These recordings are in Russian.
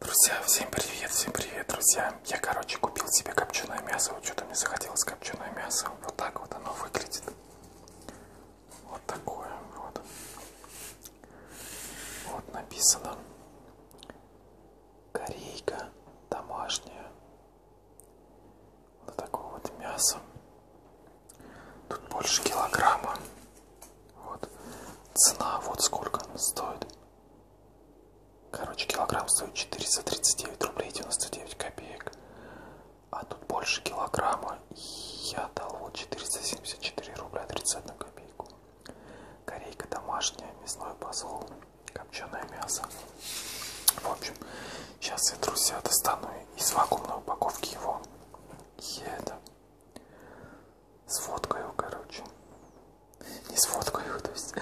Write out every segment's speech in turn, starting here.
Друзья, всем привет, всем привет, друзья. Я, короче, купил себе копченое мясо. Вот что-то мне захотелось копченое мясо. Вот так вот оно выглядит. Вот такое вот. Вот написано. Корейка домашняя. Вот такое вот мясо. Тут больше килограмма. Вот. Цена вот сколько стоит. Короче, килограмм стоит 439 рублей 99 копеек. А тут больше килограмма. И я дал вот 474 рубля 31 копейку. Корейка домашняя, мясной посол, копченое мясо. В общем, сейчас я, друзья, достану из вакуумной упаковки его. И это Сфоткаю, короче. Не сфоткаю, то есть,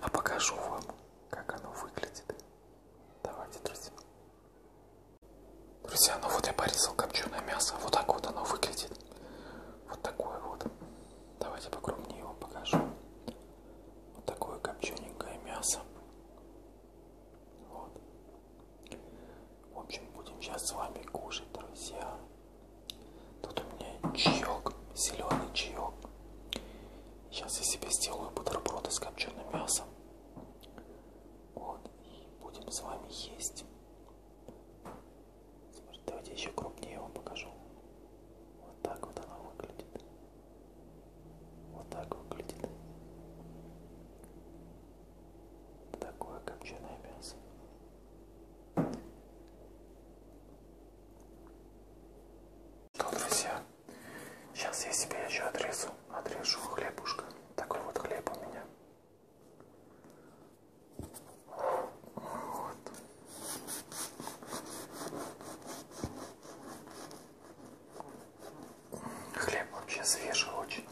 а покажу вам, как оно выглядит. Давайте, друзья. Друзья, ну вот я порезал копченое мясо. А вот так вот оно выглядит. Вот такое вот. Давайте покрупнее его покажу. Вот такое копчененькое мясо. Вот. В общем, будем сейчас с вами кушать, друзья. Тут у меня чаек, зеленый чаек. Сейчас я себе сделаю бутерброды с копченым мясом. Вот, и будем с вами есть. Давайте еще крупнее вам покажу. Вот так вот она выглядит. Вот так выглядит такое копченое мясо. Что, друзья, сейчас я себе еще отрежу, отрежу хлебушка. Такой вот хлеб у меня. Вот. Хлеб вообще свежий очень.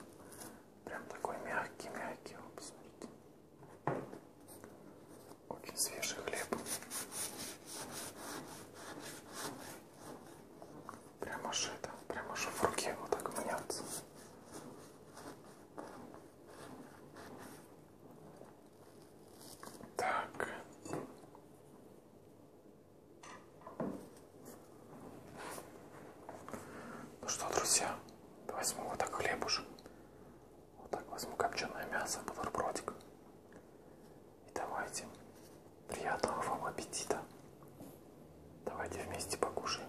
Прям такой мягкий-мягкий, вот посмотрите. Очень свежий хлеб. Прям аж это, прям аж в руке вот так мнется. Так. Ну что, друзья, возьму вот так хлебушек. Вот так возьму копченое мясо, бутербродик. И давайте. Приятного вам аппетита. Давайте вместе покушаем.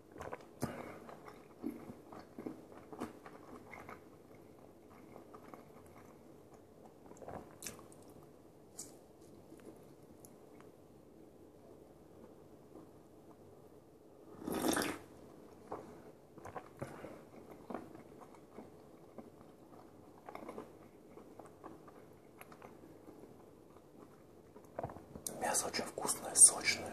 Мясо очень вкусное, сочное.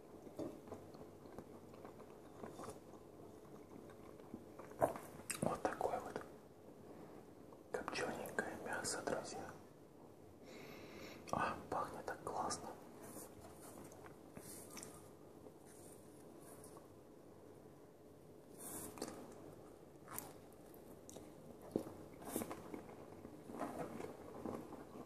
Вот такое вот копчененькое мясо, друзья. А, пахнет так классно.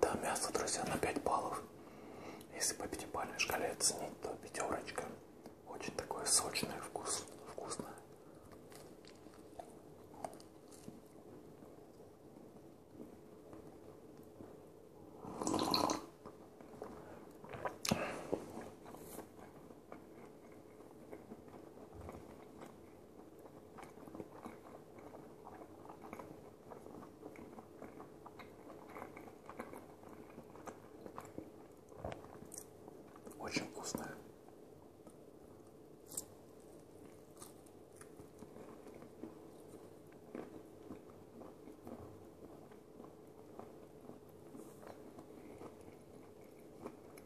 Да, мясо, друзья, на 5 баллов. Если по пятибалльной шкале оценить, то пятерочка. Очень такой сочный вкус, вкусное. Очень вкусная.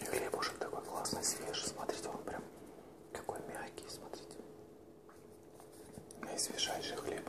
И хлебушек такой классный, свежий, смотрите, он прям какой мягкий, смотрите. Наисвежайший хлеб.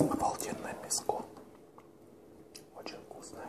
Обалденное мяско очень вкусная.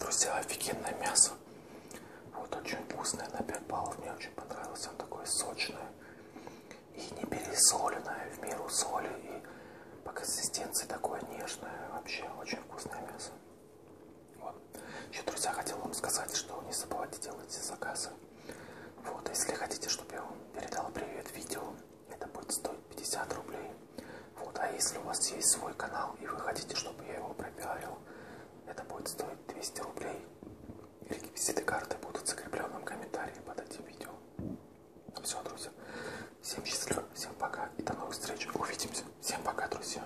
Друзья, офигенное мясо. Вот очень вкусное, на 5 баллов мне очень понравилось. Оно такое сочное и не пересоленное, в меру соли и по консистенции такое нежное. Вообще очень вкусное мясо. Вот. Еще, друзья, хотел вам сказать, что не забывайте делать заказы. Вот, а если хотите, чтобы я вам передал привет видео, это будет стоить 50 рублей. Вот, а если у вас есть свой канал и вы хотите, чтобы я его пропиарил, это будет стоить 200 рублей. Реквизиты карты будут в закрепленном комментарии под этим видео. Ну, все, друзья. Всем счастливо, всем пока и до новых встреч. Увидимся. Всем пока, друзья.